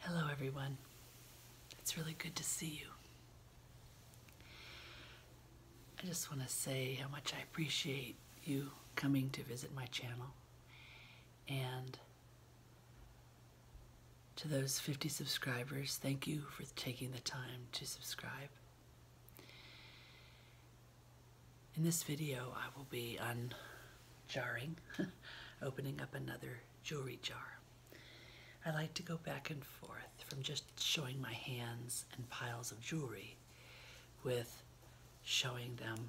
Hello, everyone. It's really good to see you. I just want to say how much I appreciate you coming to visit my channel. And to those 50 subscribers, thank you for taking the time to subscribe. In this video, I will be unjarring, opening up another jewelry jar. I like to go back and forth from just showing my hands and piles of jewelry with showing them,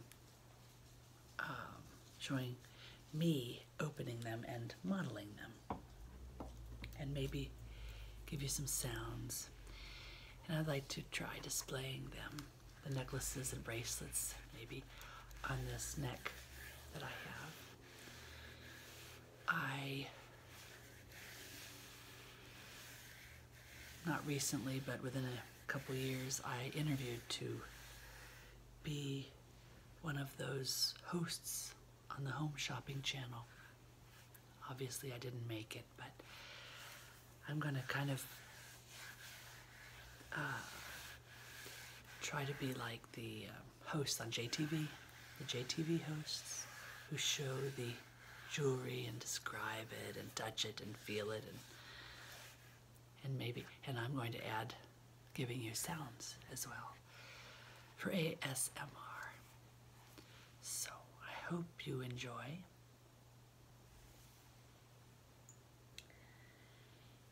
um, showing me opening them and modeling them. And maybe give you some sounds. And I'd like to try displaying them the necklaces and bracelets maybe on this neck that I have. I, not recently, but within a couple years, I interviewed to be one of those hosts on the Home Shopping Channel. Obviously, I didn't make it, but I'm gonna kind of uh, try to be like the um, hosts on JTV, the JTV hosts who show the jewelry and describe it and touch it and feel it and maybe and I'm going to add giving you sounds as well for ASMR. So I hope you enjoy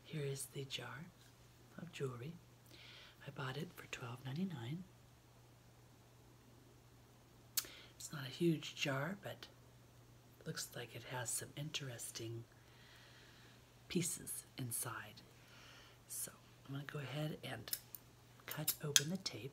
here is the jar of jewelry. I bought it for $12.99. It's not a huge jar, but looks like it has some interesting pieces inside. So I'm going to go ahead and cut open the tape.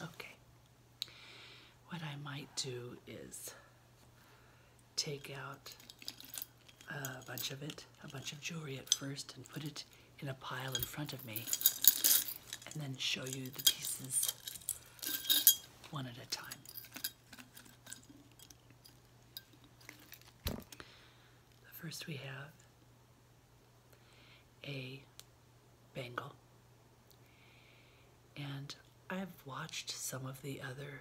Okay. What I might do is take out a bunch of it, a bunch of jewelry at first, and put it in a pile in front of me, and then show you the pieces one at a time first, we have a bangle, and I've watched some of the other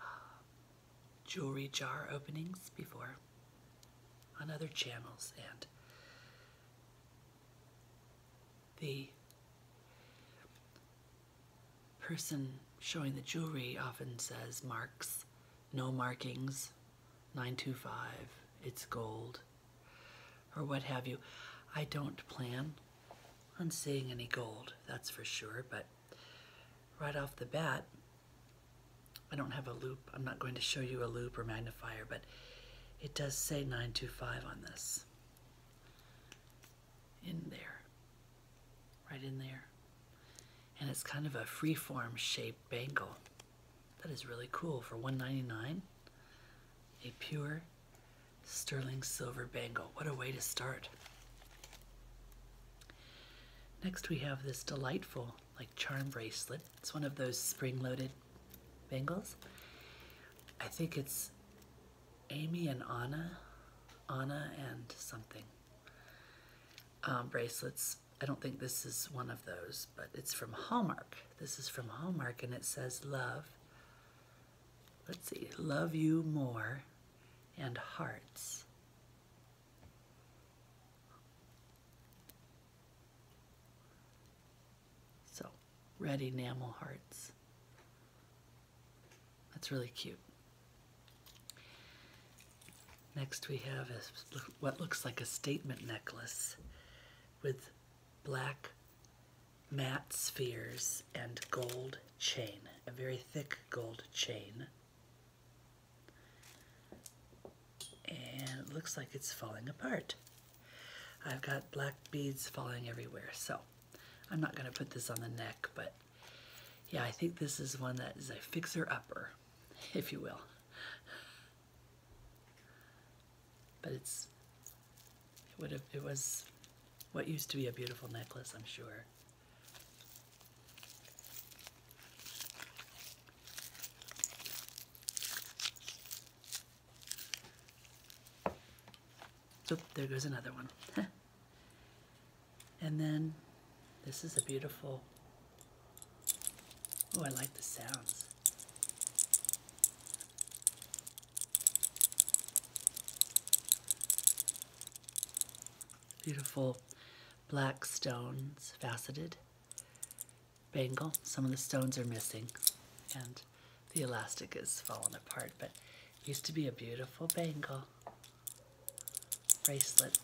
uh, jewelry jar openings before on other channels, and the person showing the jewelry often says marks, no markings, 925, it's gold, or what have you. I don't plan on seeing any gold, that's for sure, but right off the bat, I don't have a loop. I'm not going to show you a loop or magnifier, but it does say 925 on this in there, right in there. And it's kind of a freeform shaped bangle. That is really cool for $1.99. A pure sterling silver bangle. What a way to start. Next we have this delightful like charm bracelet. It's one of those spring-loaded bangles. I think it's Amy and Anna, Anna and something um, bracelets. I don't think this is one of those, but it's from Hallmark. This is from Hallmark and it says love. Let's see, love you more and hearts. So, red enamel hearts. That's really cute. Next we have a, what looks like a statement necklace with black matte spheres and gold chain, a very thick gold chain. And it looks like it's falling apart. I've got black beads falling everywhere, so I'm not going to put this on the neck, but yeah, I think this is one that is a fixer-upper, if you will. But it's, it it was what used to be a beautiful necklace, I'm sure. Oop, there goes another one. and then this is a beautiful. Oh, I like the sounds. Beautiful black stones, faceted bangle. Some of the stones are missing, and the elastic is fallen apart, but used to be a beautiful bangle bracelet.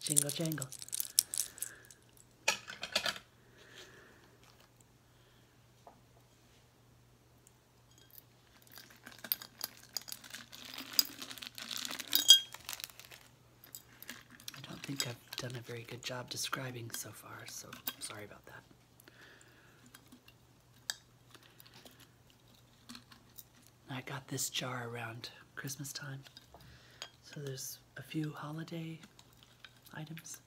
Jingle jangle. I don't think I've done a very good job describing so far, so sorry about that. I got this jar around Christmas time. So there's a few holiday items.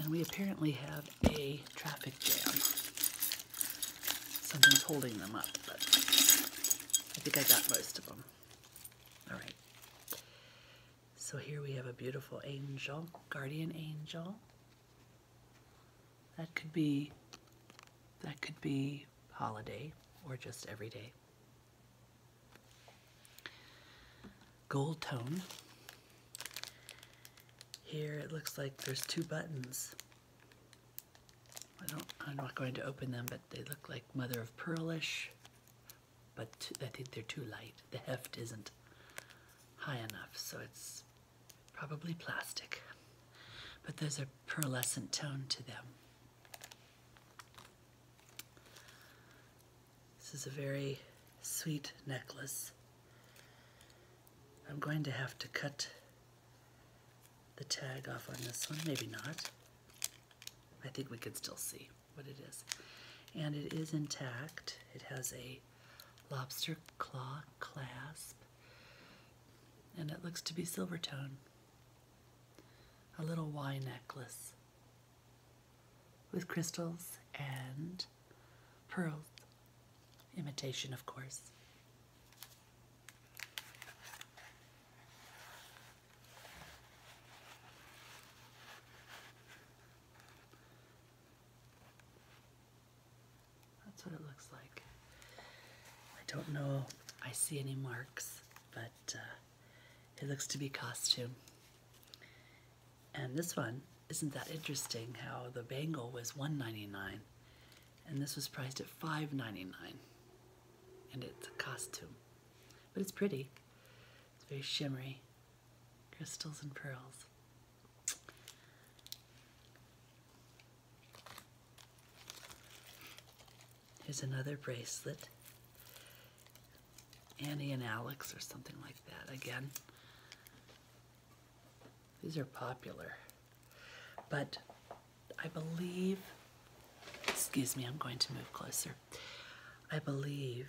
And we apparently have a traffic jam. Something's holding them up, but I think I got most of them. All right. So here we have a beautiful angel, guardian angel. That could be that could be holiday or just every day. Gold tone. Here it looks like there's two buttons. I don't, I'm not going to open them, but they look like mother of pearl-ish. But I think they're too light. The heft isn't high enough, so it's probably plastic. But there's a pearlescent tone to them. This is a very sweet necklace. I'm going to have to cut the tag off on this one. Maybe not. I think we can still see what it is. And it is intact. It has a lobster claw clasp. And it looks to be silver tone. A little Y necklace with crystals and Pearls. Imitation, of course. That's what it looks like. I don't know I see any marks, but uh, it looks to be costume. And this one, isn't that interesting how the bangle was one ninety nine, and this was priced at five ninety nine, and it's a costume. But it's pretty. It's very shimmery. Crystals and pearls. Here's another bracelet. Annie and Alex or something like that again. These are popular. But I believe, excuse me, I'm going to move closer. I believe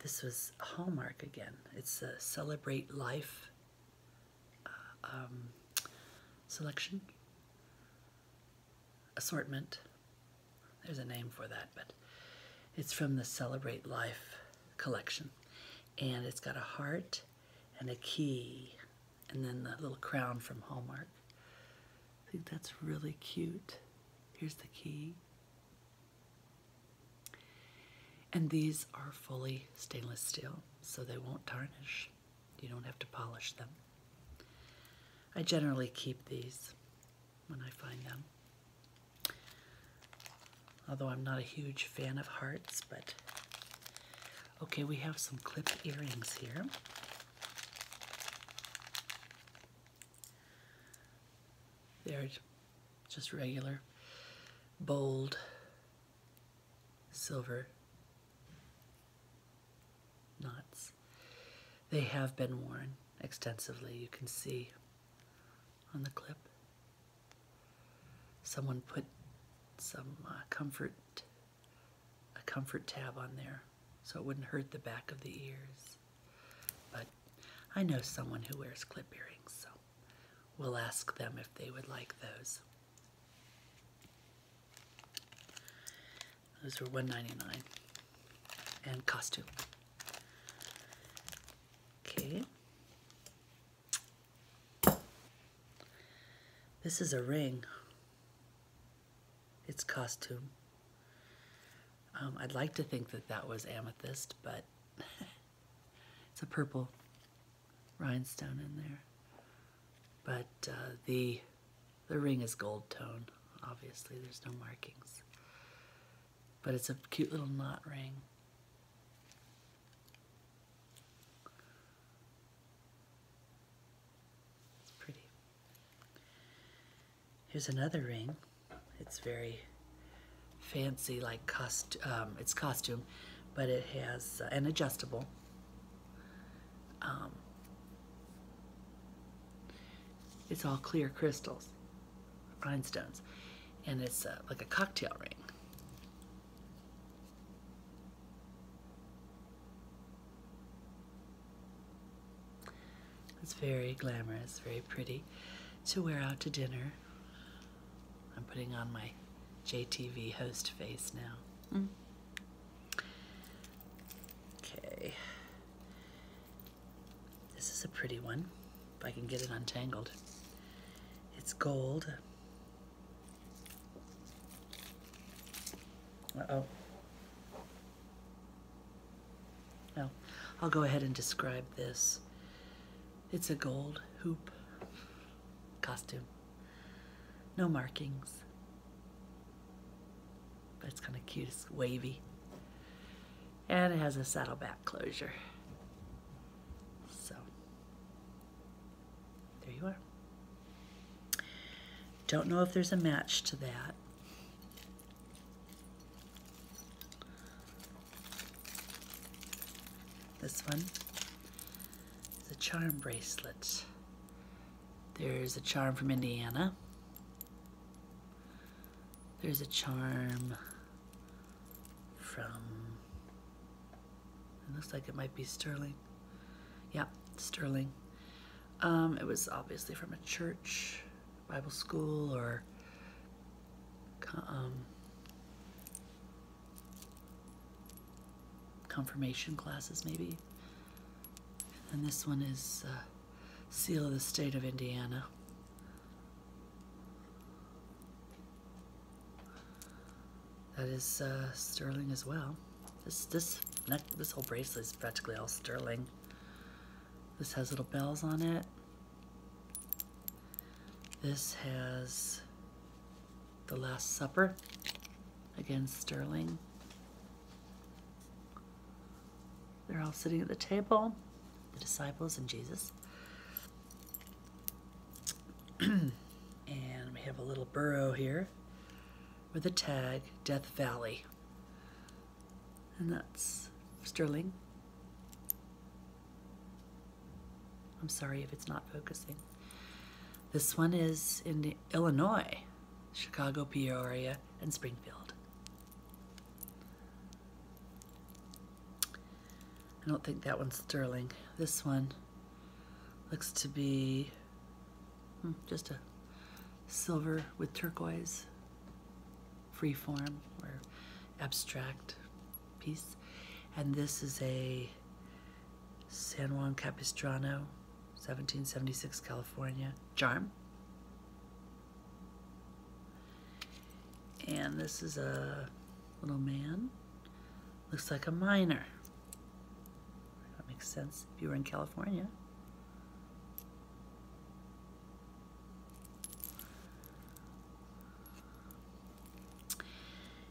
this was Hallmark again. It's a Celebrate Life uh, um, selection, assortment. There's a name for that, but it's from the Celebrate Life collection and it's got a heart and a key and then the little crown from Hallmark. I think that's really cute. Here's the key. And these are fully stainless steel, so they won't tarnish. You don't have to polish them. I generally keep these when I find them. Although I'm not a huge fan of hearts, but okay, we have some clip earrings here. They're just regular, bold, silver knots. They have been worn extensively. You can see on the clip. Someone put some uh, comfort, a comfort tab on there so it wouldn't hurt the back of the ears. But I know someone who wears clip earrings, so we'll ask them if they would like those. Those were $1.99 and costume. Okay. This is a ring. It's costume. Um, I'd like to think that that was amethyst, but it's a purple rhinestone in there. But uh, the, the ring is gold tone, obviously. There's no markings. But it's a cute little knot ring. It's pretty. Here's another ring. It's very fancy, like cost. Um, it's costume, but it has uh, an adjustable. Um, it's all clear crystals, rhinestones, and it's uh, like a cocktail ring. It's very glamorous, very pretty to wear out to dinner. I'm putting on my JTV host face now. Mm. Okay. This is a pretty one if I can get it untangled. It's gold. Uh-oh. Well, oh, I'll go ahead and describe this. It's a gold hoop costume. No markings. But it's kind of cute. It's wavy. And it has a saddleback closure. So, there you are. Don't know if there's a match to that. This one is a charm bracelet. There's a charm from Indiana. There's a charm from, it looks like it might be Sterling. Yeah, Sterling. Um, it was obviously from a church, Bible school, or um, confirmation classes, maybe. And this one is uh, Seal of the State of Indiana. That is uh, sterling as well. This this this whole bracelet is practically all sterling. This has little bells on it. This has the Last Supper, again sterling. They're all sitting at the table, the disciples and Jesus. and we have a little burrow here with a tag Death Valley. And that's Sterling. I'm sorry if it's not focusing. This one is in Illinois, Chicago, Peoria, and Springfield. I don't think that one's sterling. This one looks to be hmm, just a silver with turquoise, free form or abstract piece. And this is a San Juan Capistrano, 1776 California, charm. And this is a little man. Looks like a miner. That makes sense if you were in California.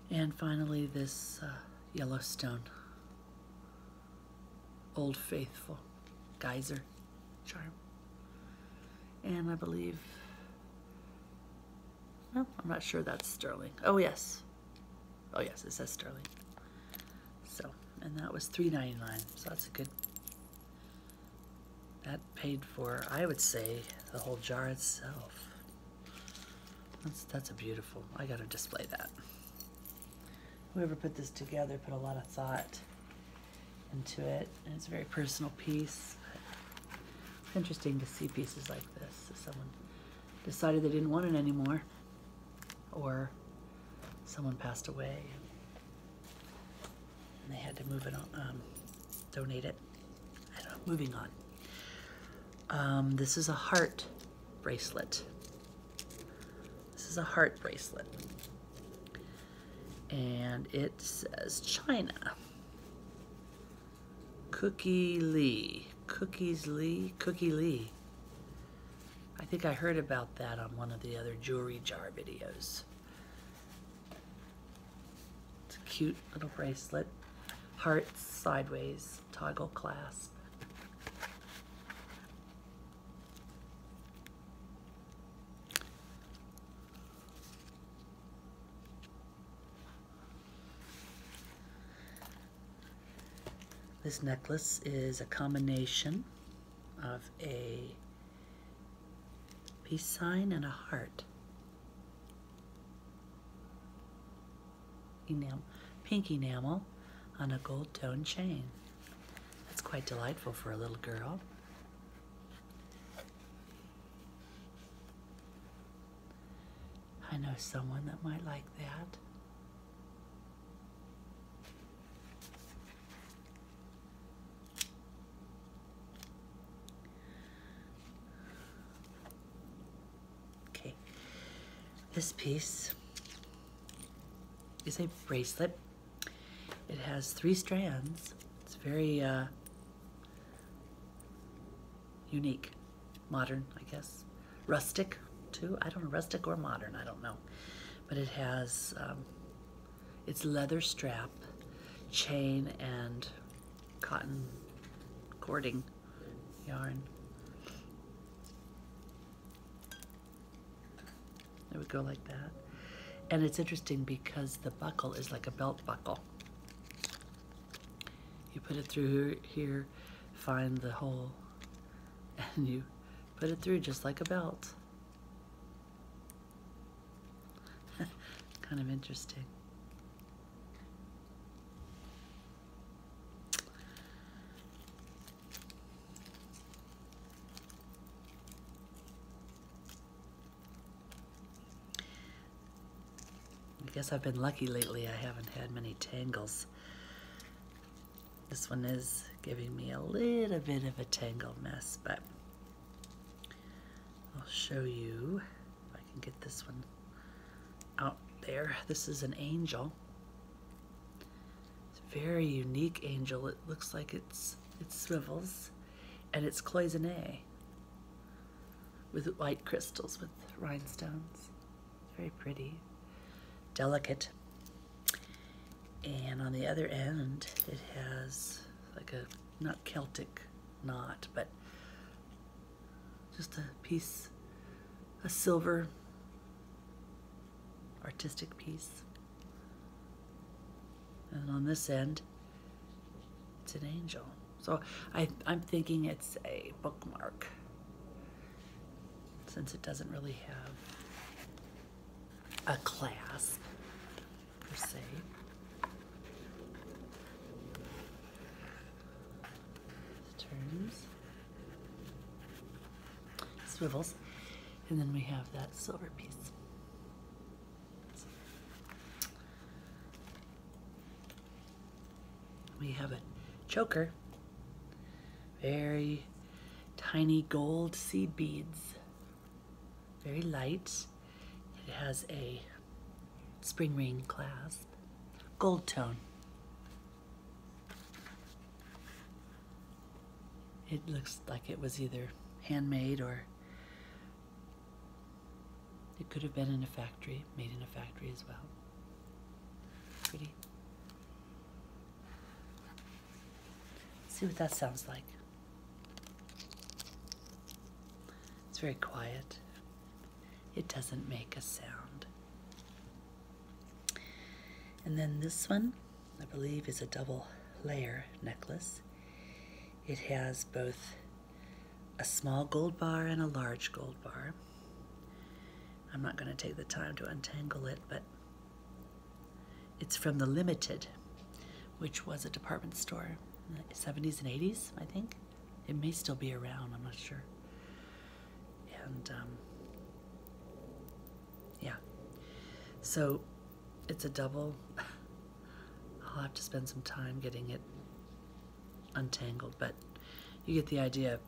And finally, this uh, Yellowstone. Old Faithful. Geyser charm. And I believe well, I'm not sure that's sterling. Oh, yes. Oh, yes, it says sterling. So, and that was $3.99, so that's a good... That paid for, I would say, the whole jar itself. That's, that's a beautiful, I gotta display that. Whoever put this together put a lot of thought into it, and it's a very personal piece interesting to see pieces like this. Someone decided they didn't want it anymore, or someone passed away and they had to move it on, um, donate it. I don't know, moving on. Um, this is a heart bracelet. This is a heart bracelet. And it says China. Cookie Lee. Cookies Lee? Cookie Lee. I think I heard about that on one of the other jewelry jar videos. It's a cute little bracelet. Hearts sideways, toggle clasp. This necklace is a combination of a peace sign and a heart. Enamel, pink enamel on a gold tone chain. That's quite delightful for a little girl. I know someone that might like that. Okay, this piece is a bracelet. It has three strands. It's very uh, Unique, modern, I guess. Rustic, too. I don't know, rustic or modern, I don't know. But it has um, its leather strap, chain, and cotton cording yarn. It would go like that. And it's interesting because the buckle is like a belt buckle. You put it through here, find the hole, and you put it through just like a belt. kind of interesting. I guess I've been lucky lately. I haven't had many tangles. This one is giving me a little bit of a tangle mess, but I'll show you if I can get this one out there. This is an angel. It's a very unique angel. It looks like it's it swivels and it's cloisonne with white crystals with rhinestones. Very pretty, delicate. And on the other end, it has like a, not Celtic knot, but just a piece, a silver artistic piece. And on this end, it's an angel. So I, am thinking it's a bookmark since it doesn't really have a clasp per se. Turns, swivels, and then we have that silver piece. We have a choker, very tiny gold seed beads, very light. It has a spring ring clasp, gold tone. It looks like it was either handmade or it could have been in a factory, made in a factory as well. Pretty. see what that sounds like. It's very quiet. It doesn't make a sound. And then this one, I believe, is a double layer necklace. It has both a small gold bar and a large gold bar. I'm not going to take the time to untangle it, but it's from the Limited, which was a department store 70s and 80s, I think. It may still be around, I'm not sure. And um, yeah, so it's a double. I'll have to spend some time getting it untangled, but you get the idea.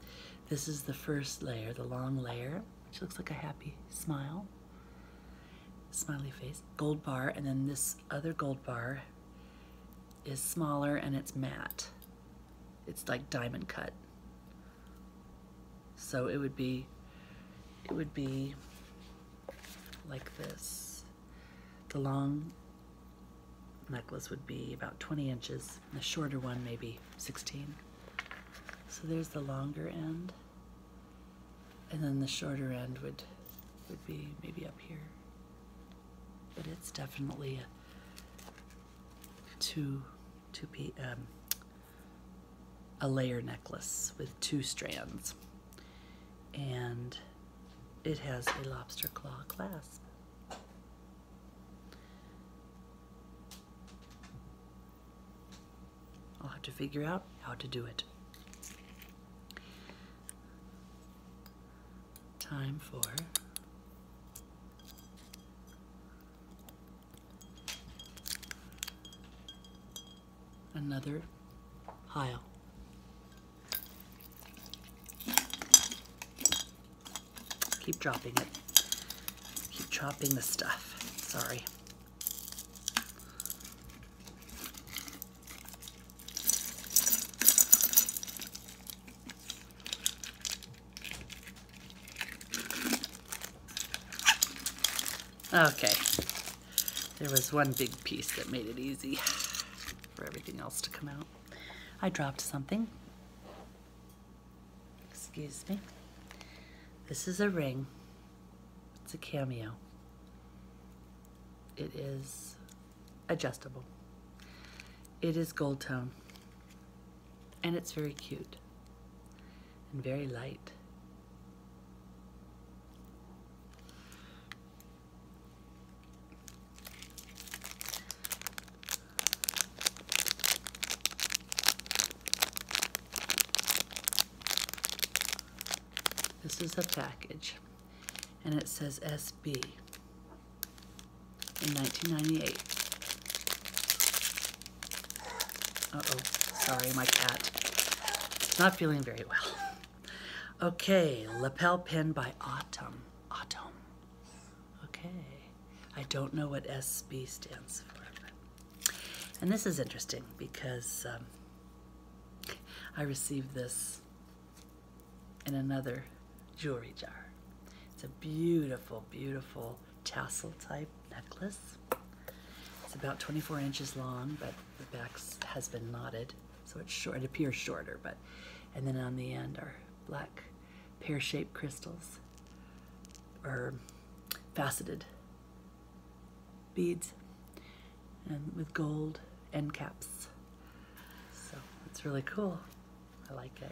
This is the first layer, the long layer, which looks like a happy smile, smiley face, gold bar, and then this other gold bar is smaller and it's matte. It's like diamond cut. So it would be, it would be like this. The long necklace would be about 20 inches, the shorter one maybe 16. So there's the longer end, and then the shorter end would, would be maybe up here. But it's definitely a two, two p, um, a layer necklace with two strands. And it has a lobster claw clasp. I'll have to figure out how to do it. Time for another pile. Keep dropping it. Keep dropping the stuff. Sorry. Okay. There was one big piece that made it easy for everything else to come out. I dropped something. Excuse me. This is a ring. It's a cameo. It is adjustable. It is gold tone. And it's very cute. And very light. This is a package, and it says SB in 1998. Uh oh, sorry, my cat. It's not feeling very well. Okay, lapel pin by Autumn. Autumn. Okay. I don't know what SB stands for. And this is interesting because um, I received this in another jewelry jar. It's a beautiful, beautiful tassel type necklace. It's about 24 inches long, but the back has been knotted. So it's short, it appears shorter, but, and then on the end are black pear-shaped crystals or faceted beads and with gold end caps. So it's really cool. I like it.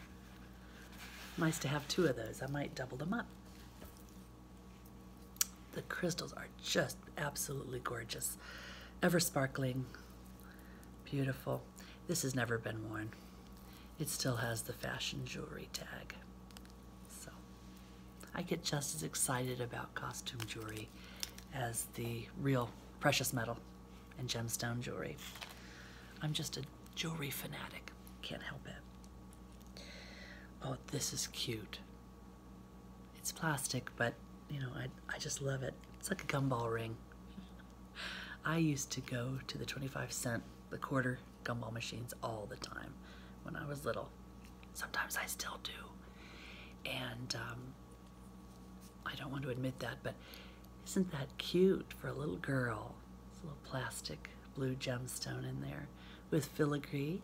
Nice to have two of those. I might double them up. The crystals are just absolutely gorgeous. Ever sparkling, Beautiful. This has never been worn. It still has the fashion jewelry tag. So I get just as excited about costume jewelry as the real precious metal and gemstone jewelry. I'm just a jewelry fanatic. Can't help it. Oh, this is cute. It's plastic, but you know, I, I just love it. It's like a gumball ring. I used to go to the 25 cent, the quarter gumball machines all the time when I was little. Sometimes I still do. And um, I don't want to admit that, but isn't that cute for a little girl? It's little plastic blue gemstone in there with filigree.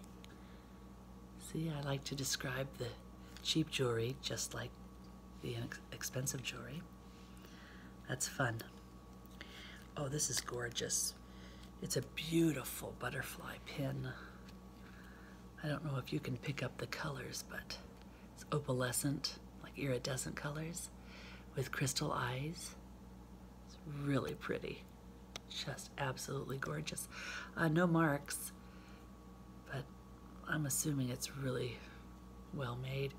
See, I like to describe the cheap jewelry just like the expensive jewelry. That's fun. Oh, this is gorgeous. It's a beautiful butterfly pin. I don't know if you can pick up the colors, but it's opalescent, like iridescent colors with crystal eyes. It's really pretty. Just absolutely gorgeous. Uh, no marks but I'm assuming it's really well made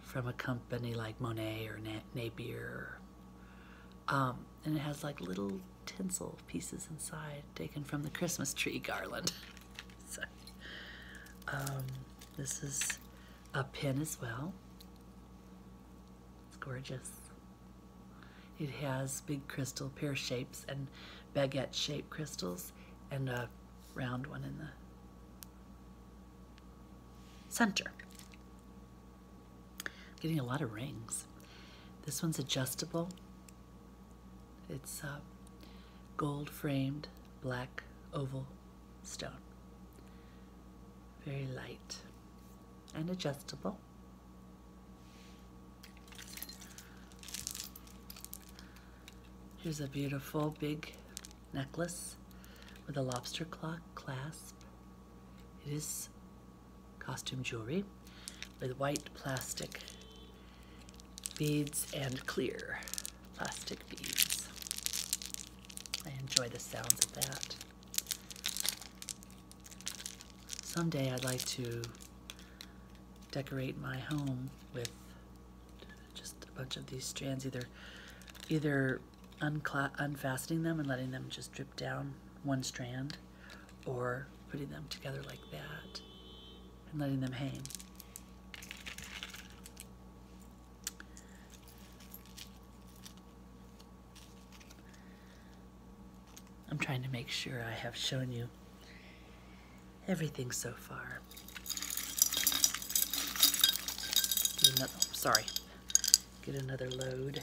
from a company like Monet or Napier. Um, and it has like little tinsel pieces inside taken from the Christmas tree garland. Um, this is a pin as well. It's gorgeous. It has big crystal pear shapes and baguette shaped crystals and a round one in the center. Getting a lot of rings. This one's adjustable. It's uh, gold framed black oval stone. Very light and adjustable. Here's a beautiful big necklace with a lobster clock clasp. It is costume jewelry with white plastic beads and clear plastic beads. I enjoy the sounds of that. Someday I'd like to decorate my home with just a bunch of these strands either either unfastening them and letting them just drip down one strand or putting them together like that and letting them hang. I'm trying to make sure I have shown you everything so far. Oh, sorry, get another load.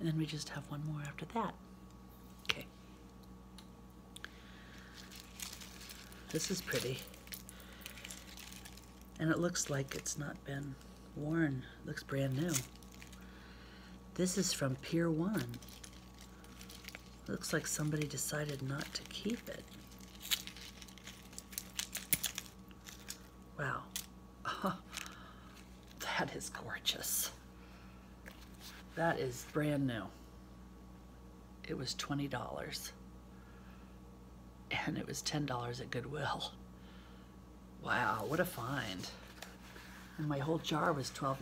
And then we just have one more after that. Okay. This is pretty. And it looks like it's not been worn. looks brand new. This is from Pier 1. looks like somebody decided not to keep it. Wow. that is gorgeous. That is brand new. It was $20 and it was $10 at Goodwill. Wow, what a find. And my whole jar was $12.99.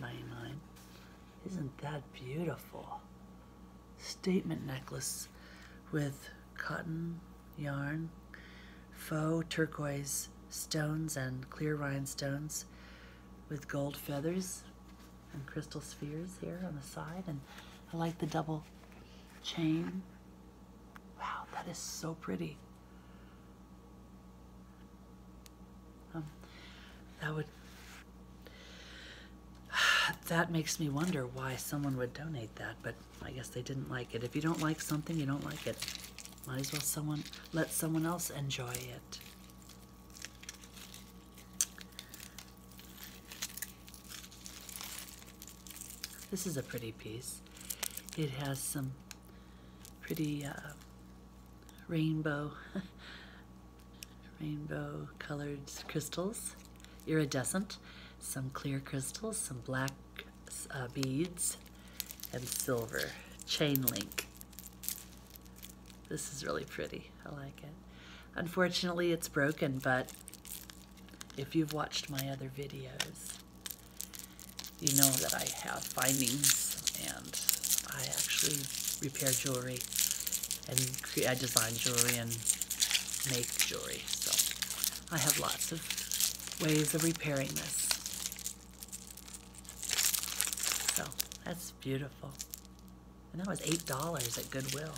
Isn't that beautiful? Statement necklace with cotton, yarn, faux turquoise stones and clear rhinestones with gold feathers and crystal spheres here on the side. And I like the double chain Wow, that is so pretty. Um, that would that makes me wonder why someone would donate that, but I guess they didn't like it. If you don't like something, you don't like it. Might as well someone let someone else enjoy it. This is a pretty piece. It has some pretty uh, rainbow, rainbow colored crystals, iridescent, some clear crystals, some black uh, beads, and silver chain link. This is really pretty. I like it. Unfortunately, it's broken, but if you've watched my other videos, you know that I have findings and I actually repair jewelry and I design jewelry and make jewelry. So I have lots of ways of repairing this. So that's beautiful. And that was $8 at Goodwill.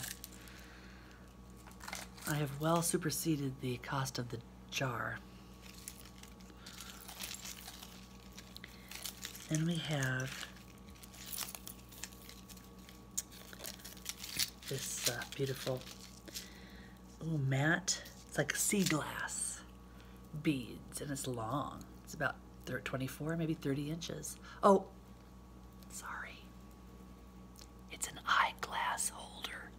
I have well superseded the cost of the jar. And we have this uh, beautiful little matte. It's like sea glass beads, and it's long. It's about 24, maybe 30 inches. Oh, sorry. It's an eyeglass holder.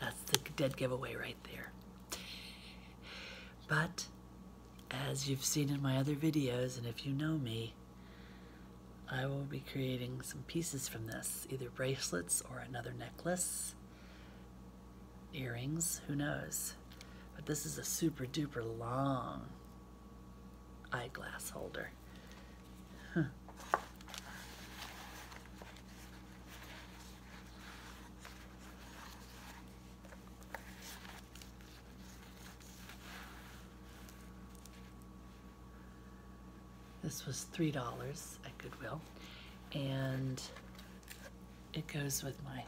That's the dead giveaway right there. But as you've seen in my other videos, and if you know me, I will be creating some pieces from this, either bracelets or another necklace, earrings, who knows. But this is a super duper long eyeglass holder. This was $3 at Goodwill, and it goes with my.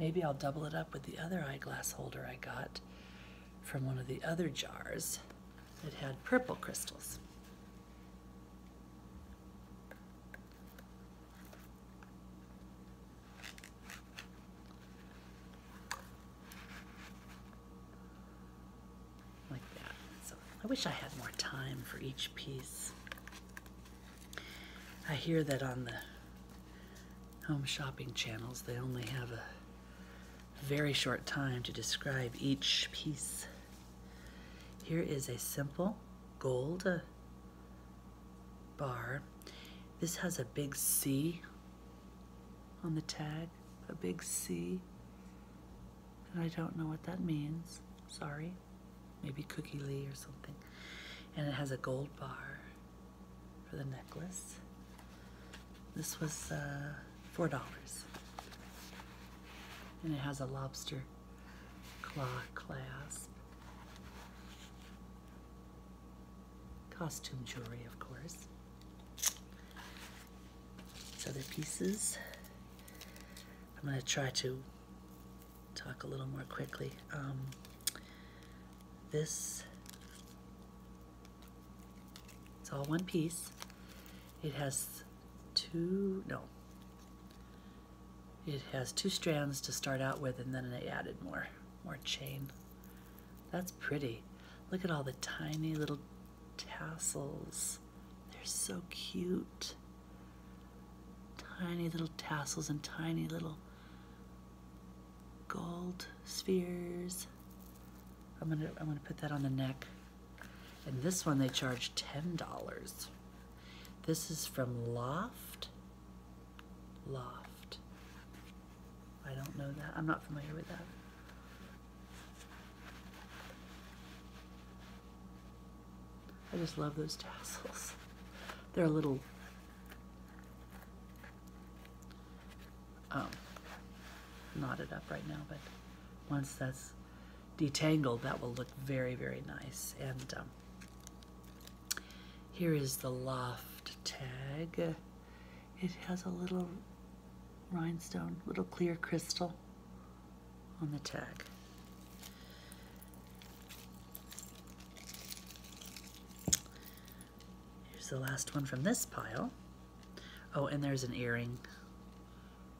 Maybe I'll double it up with the other eyeglass holder I got from one of the other jars that had purple crystals. Like that. So I wish I had more time for each piece. I hear that on the home shopping channels they only have a very short time to describe each piece. Here is a simple gold uh, bar. This has a big C on the tag, a big C. And I don't know what that means. Sorry. Maybe Cookie Lee or something. And it has a gold bar for the necklace. This was uh, $4. And it has a lobster claw clasp. Costume jewelry, of course. These other pieces. I'm going to try to talk a little more quickly. Um, this, it's all one piece. It has two, no. It has two strands to start out with and then they added more, more chain. That's pretty. Look at all the tiny little tassels. They're so cute. Tiny little tassels and tiny little gold spheres. I'm gonna I'm gonna put that on the neck. And this one they charge $10. This is from Loft. Loft. I don't know that. I'm not familiar with that. I just love those tassels. They're a little um, knotted up right now, but once that's detangled, that will look very, very nice. And um, here is the loft tag. It has a little rhinestone, little clear crystal on the tag. Here's the last one from this pile. Oh, and there's an earring.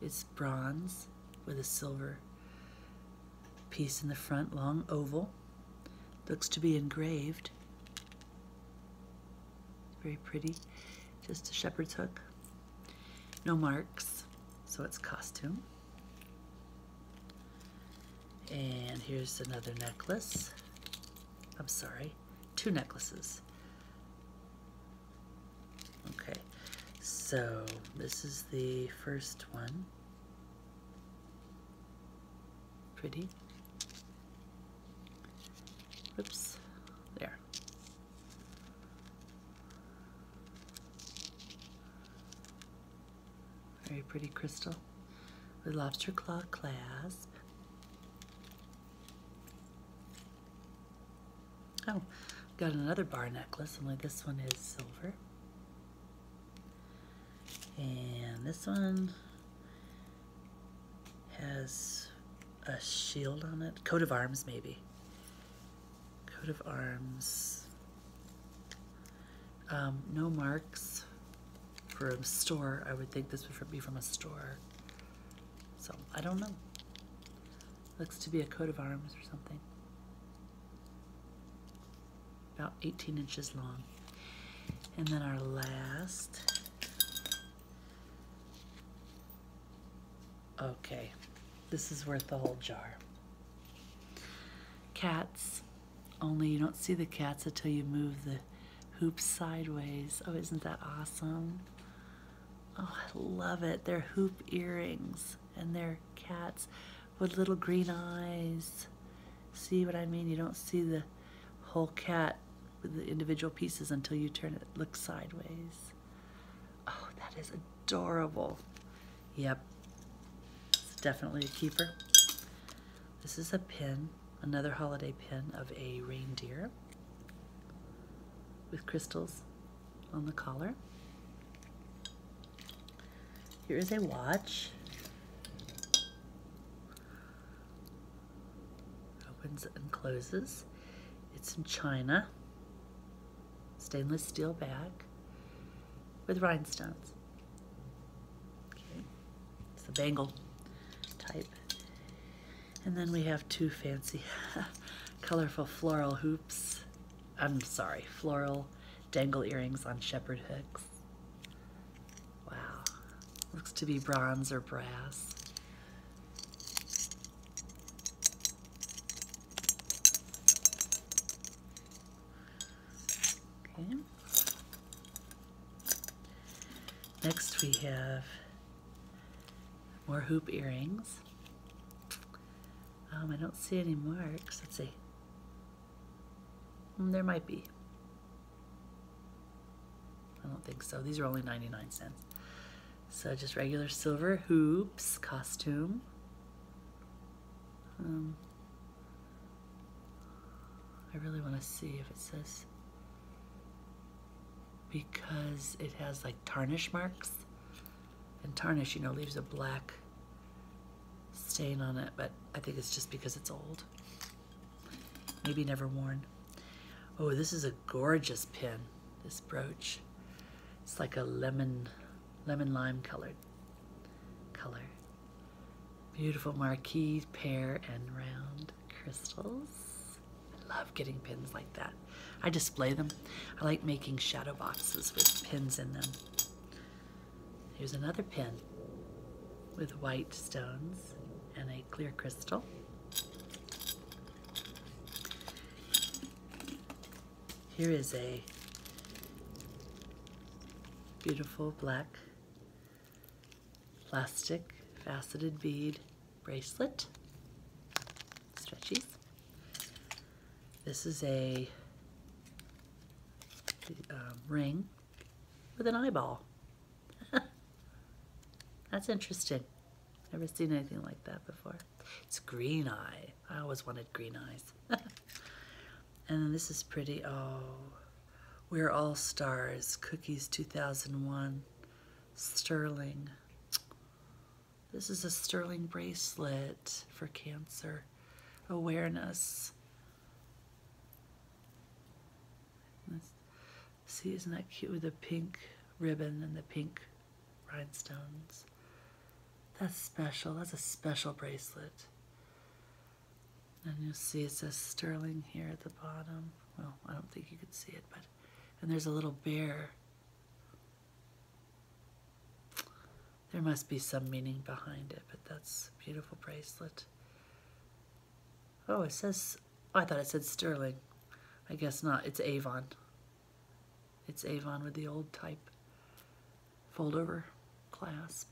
It's bronze with a silver piece in the front, long oval. Looks to be engraved. Very pretty. Just a shepherd's hook. No marks, so it's costume. And here's another necklace. I'm sorry, two necklaces. Okay, so this is the first one. Pretty. Oops, there. Very pretty crystal with lobster claw clasp. Oh, got another bar necklace, only this one is silver. And this one has a shield on it. Coat of arms, maybe. Coat of arms. Um, no marks for a store. I would think this would be from a store. So, I don't know. Looks to be a coat of arms or something. About 18 inches long. And then our last. Okay, this is worth the whole jar. Cats, only you don't see the cats until you move the hoop sideways. Oh, isn't that awesome? Oh, I love it. Their hoop earrings and their cats with little green eyes. See what I mean? You don't see the whole cat with the individual pieces until you turn it, look sideways. Oh, that is adorable. Yep, it's definitely a keeper. This is a pin, another holiday pin of a reindeer with crystals on the collar. Here is a watch. Opens and closes. It's in china, stainless steel back with rhinestones. It's a bangle type. And then we have two fancy colorful floral hoops. I'm sorry, floral dangle earrings on shepherd hooks. Wow. Looks to be bronze or brass. Okay. Next we have more hoop earrings. Um, I don't see any marks. Let's see. Hmm, there might be. I don't think so. These are only 99 cents. So just regular silver hoops costume. Um, I really want to see if it says because it has like tarnish marks. And tarnish, you know, leaves a black stain on it, but I think it's just because it's old. Maybe never worn. Oh, this is a gorgeous pin, this brooch. It's like a lemon, lemon lime colored color. Beautiful marquise, pear, and round crystals. I Love getting pins like that. I display them. I like making shadow boxes with pins in them. Here's another pin with white stones and a clear crystal. Here is a beautiful black plastic faceted bead bracelet. Stretchy. This is a um, ring with an eyeball. That's interesting. Never seen anything like that before. It's green eye. I always wanted green eyes. and this is pretty. Oh, we're all stars. Cookies 2001. Sterling. This is a sterling bracelet for cancer awareness. see, isn't that cute with the pink ribbon and the pink rhinestones? That's special. That's a special bracelet. And you'll see it says sterling here at the bottom. Well, I don't think you can see it, but and there's a little bear there must be some meaning behind it, but that's a beautiful bracelet. Oh, it says, I thought it said sterling. I guess not, it's Avon. It's Avon with the old type fold over clasp.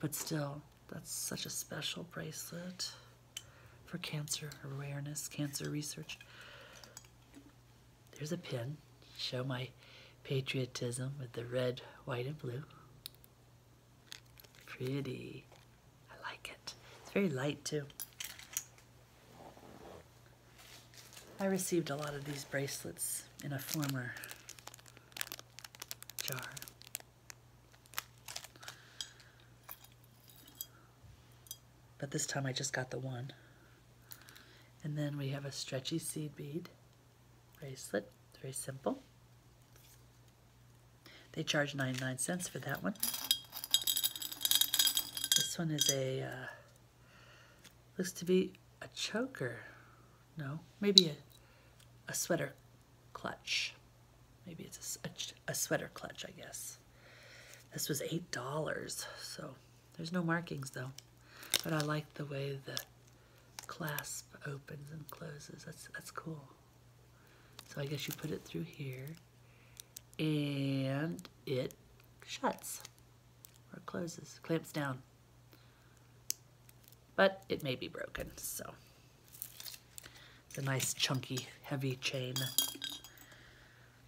But still, that's such a special bracelet for cancer awareness, cancer research. There's a pin. Show my patriotism with the red, white, and blue. Pretty. I like it. It's very light too. I received a lot of these bracelets in a former jar. But this time I just got the one. And then we have a stretchy seed bead bracelet, very simple. They charge 99 cents for that one. This one is a, uh, looks to be a choker. No, maybe a, a sweater clutch. Maybe it's a sweater clutch, I guess. This was $8, so there's no markings though. But I like the way the clasp opens and closes. That's, that's cool. So I guess you put it through here and it shuts or closes, clamps down. But it may be broken, so. It's a nice chunky, heavy chain.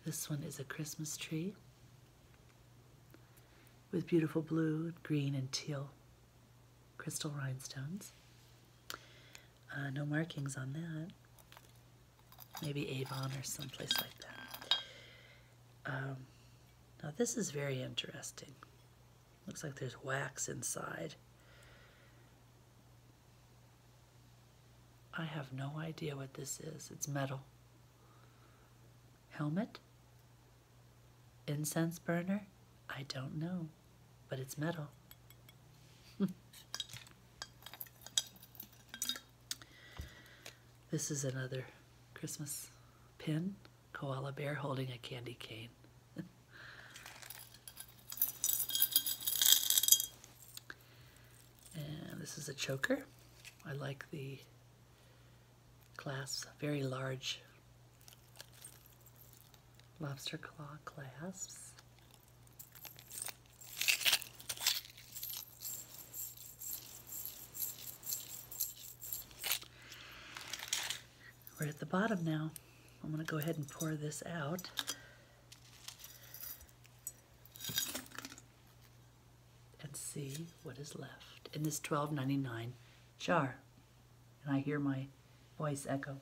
This one is a Christmas tree with beautiful blue, green, and teal crystal rhinestones. Uh, no markings on that. Maybe Avon or someplace like that. Um, now this is very interesting. Looks like there's wax inside. I have no idea what this is. It's metal. Helmet? Incense burner? I don't know, but it's metal. this is another Christmas pin. Koala bear holding a candy cane. And this is a choker. I like the clasps, very large lobster claw clasps. We're at the bottom now. I'm going to go ahead and pour this out and see what is left in this twelve ninety nine jar. And I hear my voice echo.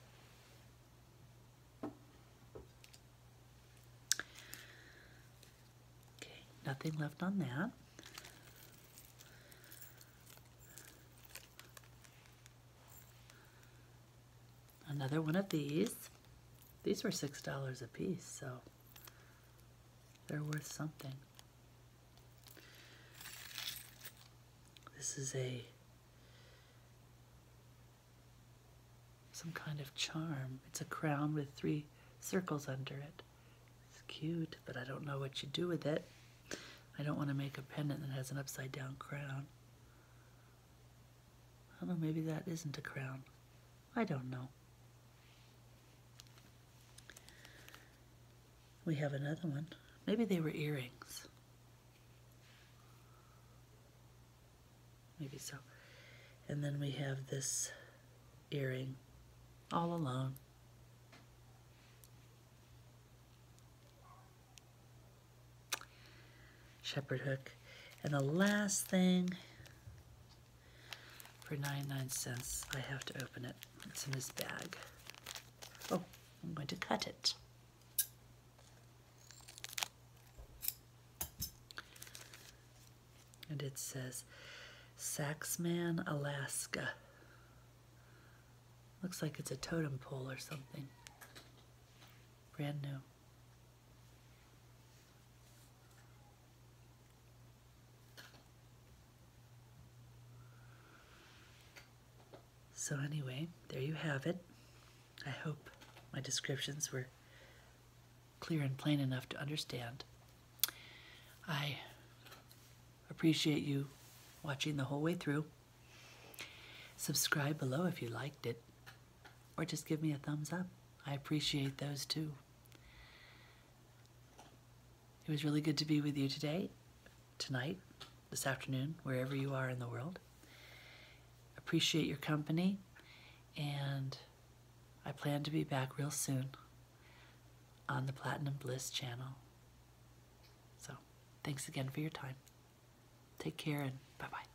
Okay, nothing left on that. Another one of these. These were $6 a piece, so they're worth something. This is a some kind of charm. It's a crown with three circles under it. It's cute, but I don't know what you do with it. I don't want to make a pendant that has an upside down crown. I don't know, maybe that isn't a crown. I don't know. We have another one. Maybe they were earrings. Maybe so. And then we have this earring all alone. Shepherd hook. And the last thing for 99 cents. I have to open it. It's in this bag. Oh, I'm going to cut it. And it says Saxman, Alaska. Looks like it's a totem pole or something. Brand new. So, anyway, there you have it. I hope my descriptions were clear and plain enough to understand. I appreciate you watching the whole way through. Subscribe below if you liked it or just give me a thumbs up. I appreciate those too. It was really good to be with you today, tonight, this afternoon, wherever you are in the world. Appreciate your company, and I plan to be back real soon on the Platinum Bliss channel. So, thanks again for your time. Take care and bye bye.